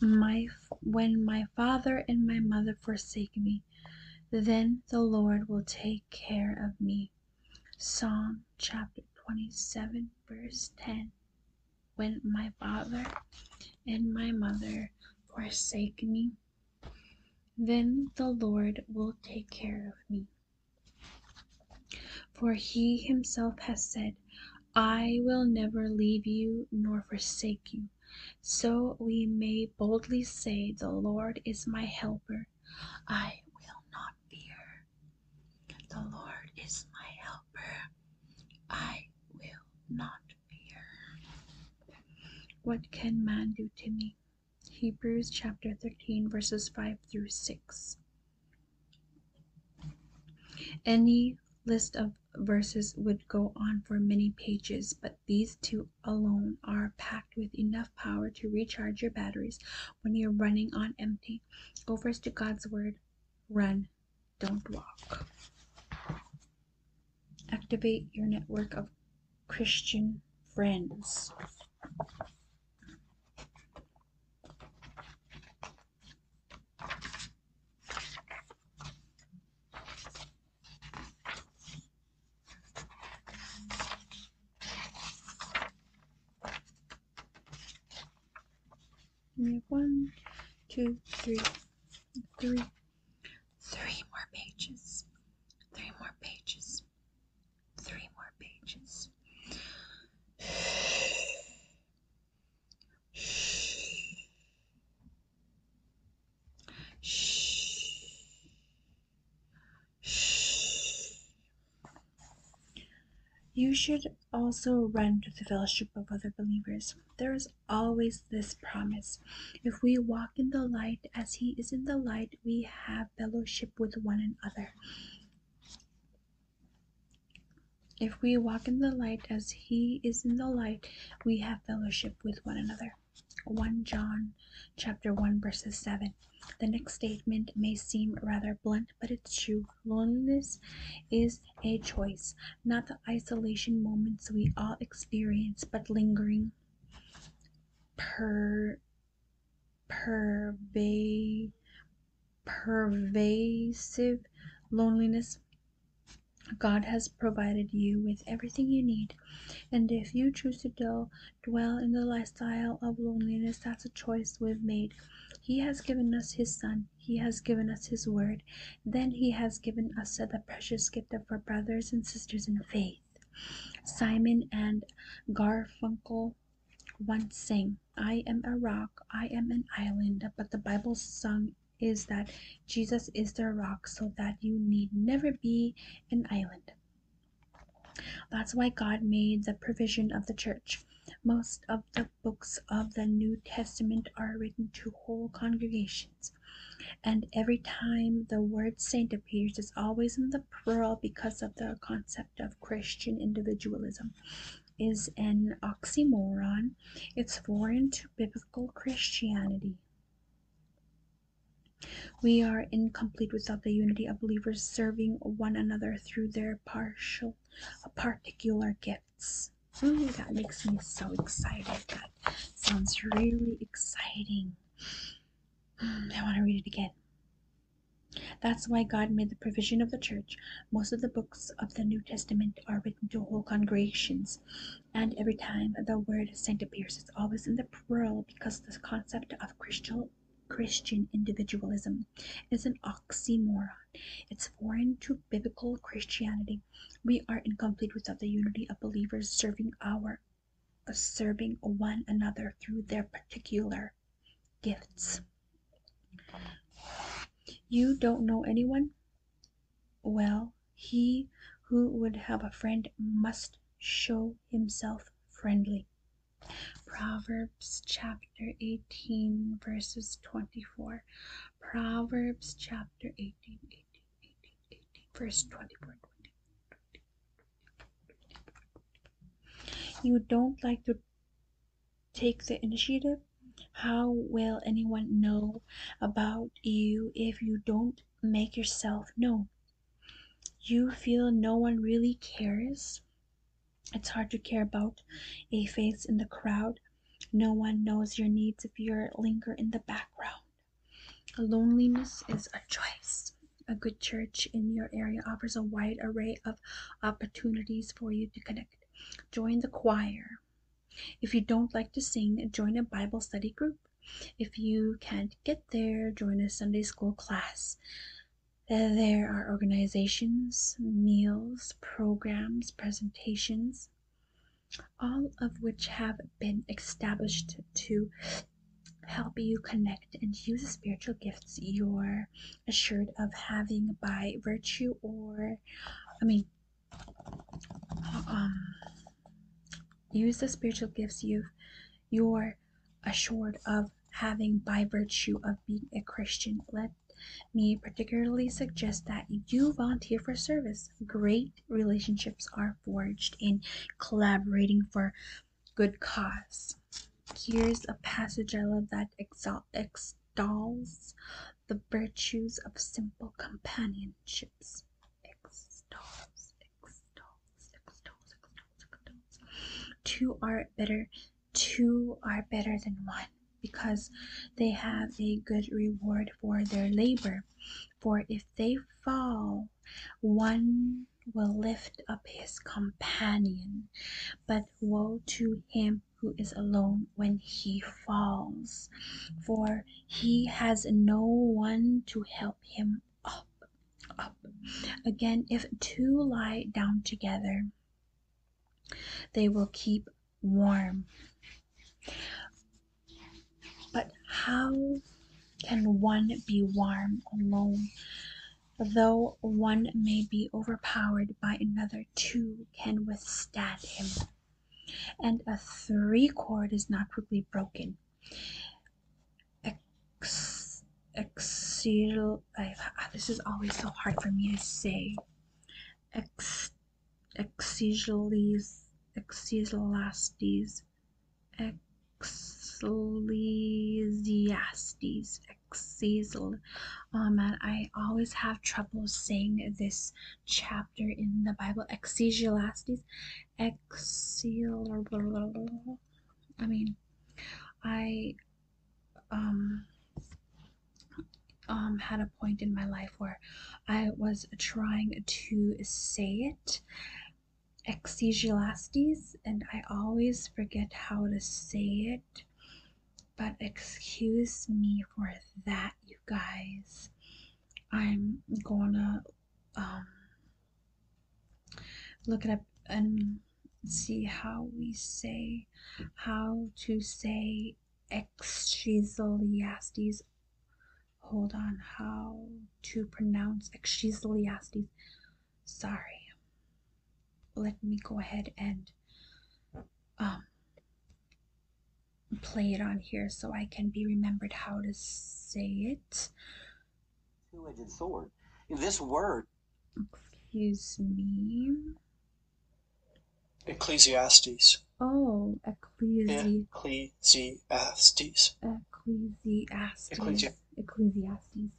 my when my father and my mother forsake me then the lord will take care of me psalm chapter 27 verse 10 when my father and my mother forsake me then the lord will take care of me for he himself has said I will never leave you nor forsake you. So we may boldly say, The Lord is my helper. I will not fear. The Lord is my helper. I will not fear. What can man do to me? Hebrews chapter 13, verses 5 through 6. Any list of verses would go on for many pages, but these two alone are packed with enough power to recharge your batteries when you're running on empty. Go first to God's Word, run, don't walk. Activate your network of Christian friends. We have one, two, three, three, three more pages, three more pages, three more pages. Shh. Shh. Shh. You should also run to the fellowship of other believers. There is always this promise. If we walk in the light as He is in the light, we have fellowship with one another. If we walk in the light as he is in the light, we have fellowship with one another. 1 John chapter 1 verses 7. The next statement may seem rather blunt, but it's true. Loneliness is a choice, not the isolation moments we all experience, but lingering per pervade pervasive loneliness God has provided you with everything you need, and if you choose to do, dwell in the lifestyle of loneliness, that's a choice we've made. He has given us His Son, He has given us His Word, then He has given us the precious gift of our brothers and sisters in faith. Simon and Garfunkel once sang, I am a rock, I am an island, but the Bible sung is that Jesus is their rock so that you need never be an island. That's why God made the provision of the church. Most of the books of the New Testament are written to whole congregations. And every time the word saint appears, it's always in the plural because of the concept of Christian individualism is an oxymoron. It's foreign biblical Christianity. We are incomplete without the unity of believers serving one another through their partial, uh, particular gifts. Hmm, that makes me so excited. That sounds really exciting. Hmm, I want to read it again. That's why God made the provision of the church. Most of the books of the New Testament are written to whole congregations and every time the word saint appears, it's always in the plural because the concept of Christian Christian individualism is an oxymoron. It's foreign to biblical Christianity. We are incomplete without the unity of believers serving our serving one another through their particular gifts. You don't know anyone? Well, he who would have a friend must show himself friendly. Proverbs chapter 18, verses 24. Proverbs chapter 18, verse 24. you don't like to take the initiative? How will anyone know about you if you don't make yourself known? You feel no one really cares. It's hard to care about a face in the crowd. No one knows your needs if you linger in the background. Loneliness is a choice. A good church in your area offers a wide array of opportunities for you to connect. Join the choir, if you don't like to sing, join a Bible study group. If you can't get there, join a Sunday school class. There are organizations, meals, programs, presentations, all of which have been established to help you connect and use the spiritual gifts you're assured of having by virtue or, I mean, um, use the spiritual gifts you you're assured of having by virtue of being a Christian. Let me particularly suggest that you volunteer for service. Great relationships are forged in collaborating for good cause. Here's a passage I love that exalt, extols the virtues of simple companionships. Extols, extols, extols, extols, extols. Two are better, two are better than one because they have a good reward for their labor. For if they fall, one will lift up his companion. But woe to him who is alone when he falls, for he has no one to help him up. Up again, if two lie down together, they will keep warm. But how can one be warm alone? Though one may be overpowered by another, two can withstand him and a three chord is not quickly broken. Ex, exil, I, ah, this is always so hard for me to say. Ex, exiles, exilastes, ecclesiastes, exil. Oh man, I always have trouble saying this chapter in the Bible, Ecclesiastes. Excel, I mean, I um um had a point in my life where I was trying to say it. Ecclesiastes, and I always forget how to say it, but excuse me for that you guys, I'm gonna um, look it up and see how we say how to say Exchiliastes. Hold on, how to pronounce Exchiliastes. Sorry, let me go ahead and um, play it on here so I can be remembered how to say it. Two edged sword. This word. Excuse me. Ecclesiastes. Oh, Ecclesi. Ecclesiastes. Ecclesiastes. Ecclesi- Ecclesiastes.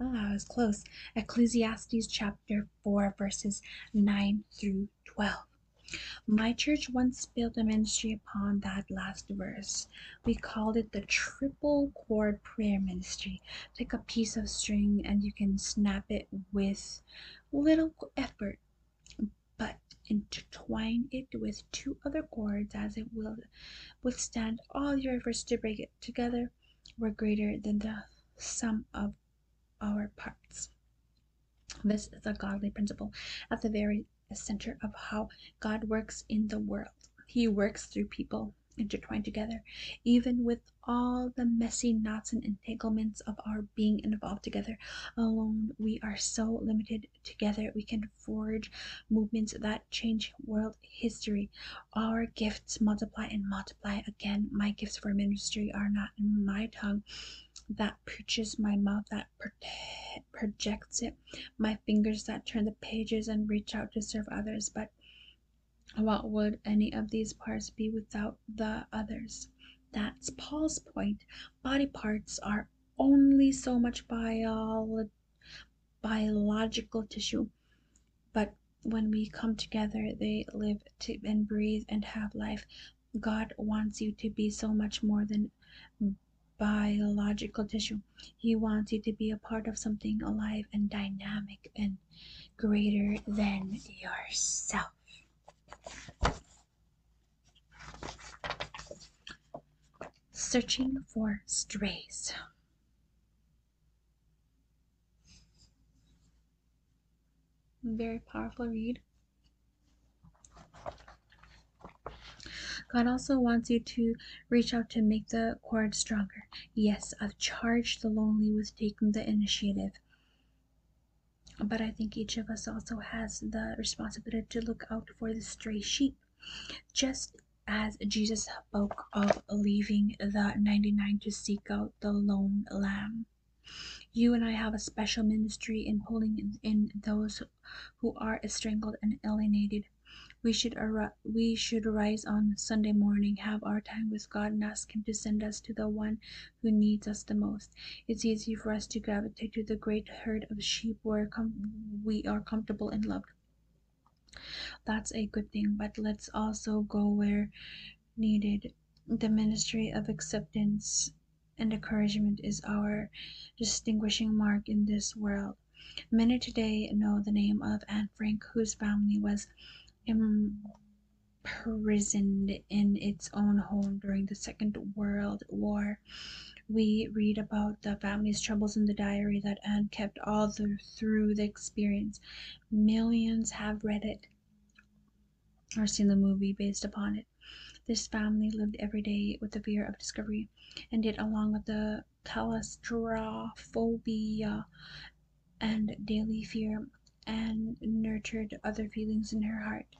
Ah, I was close. Ecclesiastes chapter 4, verses 9 through 12. My church once built a ministry upon that last verse. We called it the triple chord prayer ministry. Take a piece of string and you can snap it with little effort, but intertwine it with two other chords as it will withstand all your efforts to break it together. Were greater than the sum of our parts. This is a godly principle at the very center of how God works in the world. He works through people intertwined together, even with all the messy knots and entanglements of our being involved together. Alone, we are so limited. Together, we can forge movements that change world history. Our gifts multiply and multiply again. My gifts for ministry are not in my tongue that that my mouth that projects it, my fingers that turn the pages and reach out to serve others. But what would any of these parts be without the others? That's Paul's point. Body parts are only so much biological tissue, but when we come together, they live to- and breathe and have life. God wants you to be so much more than biological tissue. He wants you to be a part of something alive and dynamic and greater than yourself. Searching for strays. Very powerful read. God also wants you to reach out to make the cord stronger. Yes, I've charged the lonely with taking the initiative. But I think each of us also has the responsibility to look out for the stray sheep. Just as Jesus spoke of leaving the 99 to seek out the lone lamb. You and I have a special ministry in pulling in those who are strangled and alienated. We should ar- we should arise on Sunday morning, have our time with God, and ask Him to send us to the one who needs us the most. It's easy for us to gravitate to the great herd of sheep where we are comfortable and loved. That's a good thing, but let's also go where needed. The ministry of acceptance and encouragement is our distinguishing mark in this world. Many today know the name of Anne Frank, whose family was imprisoned in its own home during the Second World War. We read about the family's troubles in the diary that Anne kept all through the experience. Millions have read it or seen the movie based upon it. This family lived every day with the fear of discovery, and it, along with the claustrophobia and daily fear, and nurtured other feelings in her heart,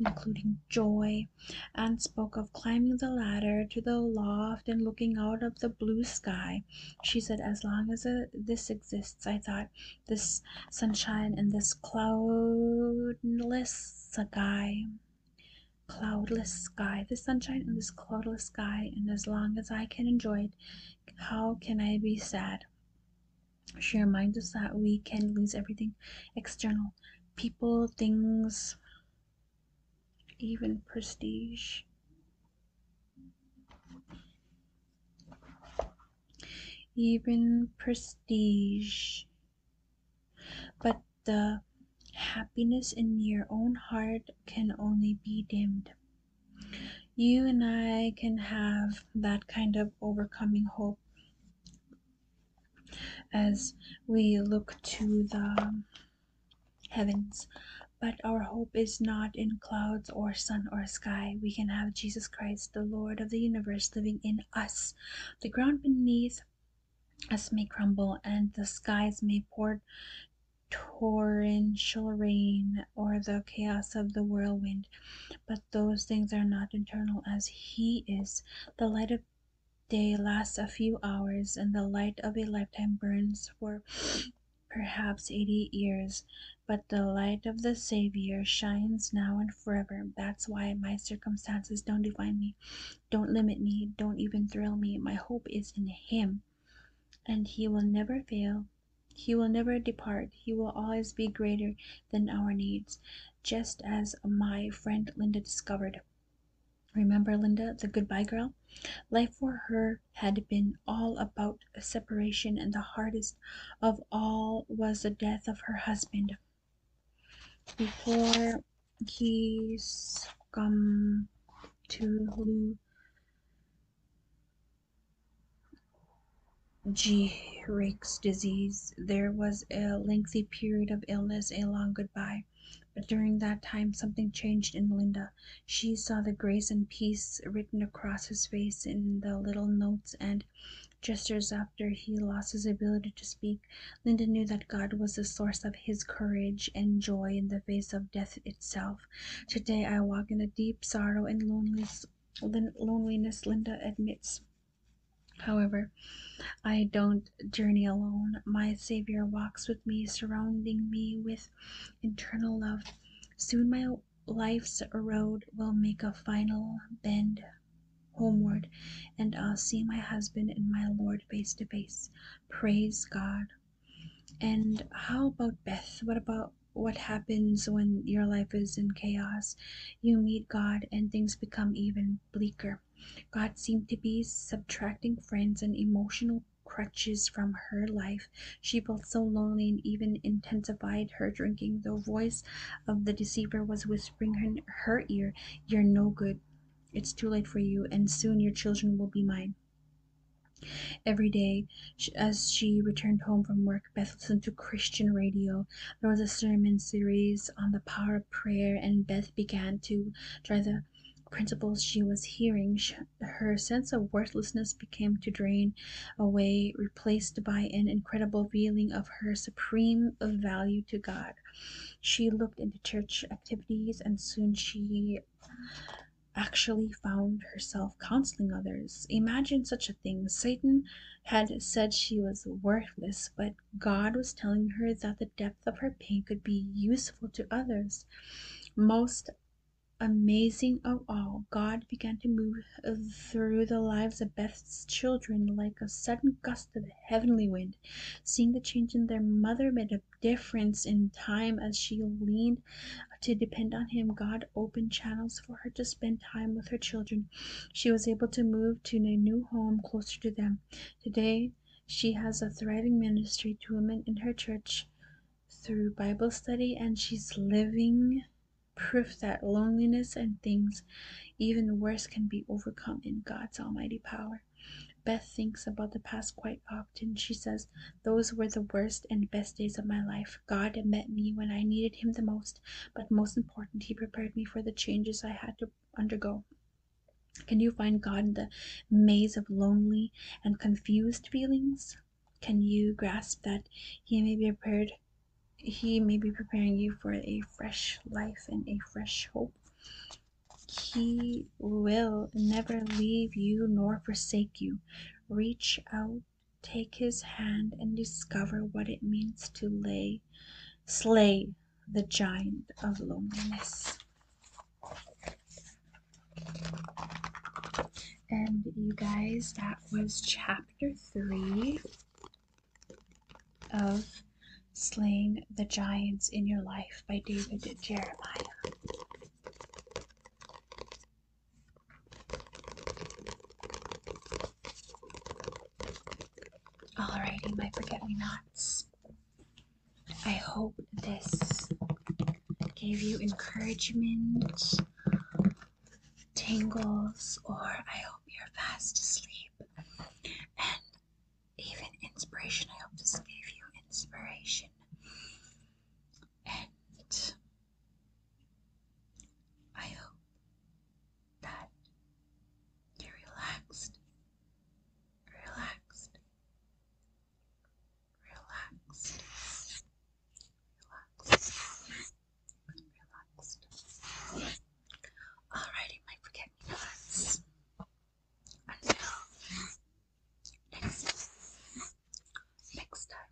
including joy, and spoke of climbing the ladder to the loft and looking out of the blue sky. She said, As long as uh, this exists, I thought, this sunshine and this cloudless sky cloudless sky this sunshine and this cloudless sky and as long as i can enjoy it how can i be sad she reminds us that we can lose everything external people things even prestige even prestige. But the happiness in your own heart can only be dimmed. You and I can have that kind of overcoming hope as we look to the heavens. But our hope is not in clouds or sun or sky. We can have Jesus Christ, the Lord of the universe, living in us. The ground beneath us may crumble, and the skies may pour torrential rain or the chaos of the whirlwind, but those things are not eternal as He is. The light of day lasts a few hours, and the light of a lifetime burns for perhaps 80 years, but the light of the Savior shines now and forever. That's why my circumstances don't define me, don't limit me, don't even thrill me. My hope is in Him, and He will never fail. He will never depart. He will always be greater than our needs, just as my friend Linda discovered. Remember Linda, the goodbye girl? Life for her had been all about separation, and the hardest of all was the death of her husband before he succumbed to Gehrigs disease, there was a lengthy period of illness, a long goodbye. But during that time, something changed in Linda. She saw the grace and peace written across his face in the little notes and just as after he lost his ability to speak, Linda knew that God was the source of his courage and joy in the face of death itself. Today I walk in the deep sorrow and loneliness, loneliness Linda admits. However, I don't journey alone. My Savior walks with me, surrounding me with eternal love. Soon my life's road will make a final bend homeward, and I'll see my husband and my Lord face to face. Praise God. And how about Beth? What about what happens when your life is in chaos? You meet God and things become even bleaker. God seemed to be subtracting friends and emotional crutches from her life. She felt so lonely and even intensified her drinking, though voice of the deceiver was whispering in her ear, You're no good. It's too late for you, and soon your children will be mine. Every day, as she returned home from work, Beth listened to Christian radio. There was a sermon series on the power of prayer, and Beth began to try the principles she was hearing. Her sense of worthlessness became to drain away, Placed by an incredible feeling of her supreme value to God. She looked into church activities and soon she actually found herself counseling others. Imagine such a thing. Satan had said she was worthless, but God was telling her that the depth of her pain could be useful to others. Most amazing of all, God began to move through the lives of Beth's children like a sudden gust of heavenly wind. Seeing the change in their mother made a difference in time as she leaned to depend on him. God opened channels for her to spend time with her children. She was able to move to a new home closer to them. Today, she has a thriving ministry to women in her church through Bible study, and she's living proof that loneliness and things even worse can be overcome in God's almighty power. Beth thinks about the past quite often. She says, Those were the worst and best days of my life. God met me when I needed Him the most, but most important, He prepared me for the changes I had to undergo. Can you find God in the maze of lonely and confused feelings? Can you grasp that He may be prepared he may be preparing you for a fresh life and a fresh hope. He will never leave you nor forsake you. Reach out, take his hand, and discover what it means to lay, slay the giant of loneliness. And you guys, that was chapter three of Slaying the Giants in Your Life by David Jeremiah. Alrighty, my forget me nots. I hope this gave you encouragement, tangles, or I hope you're fast asleep and even inspiration. I hope this gave you inspiration. And I hope that you're relaxed, relaxed, relaxed, relaxed relaxed. Alrighty, my forget me nots. Until next Next time.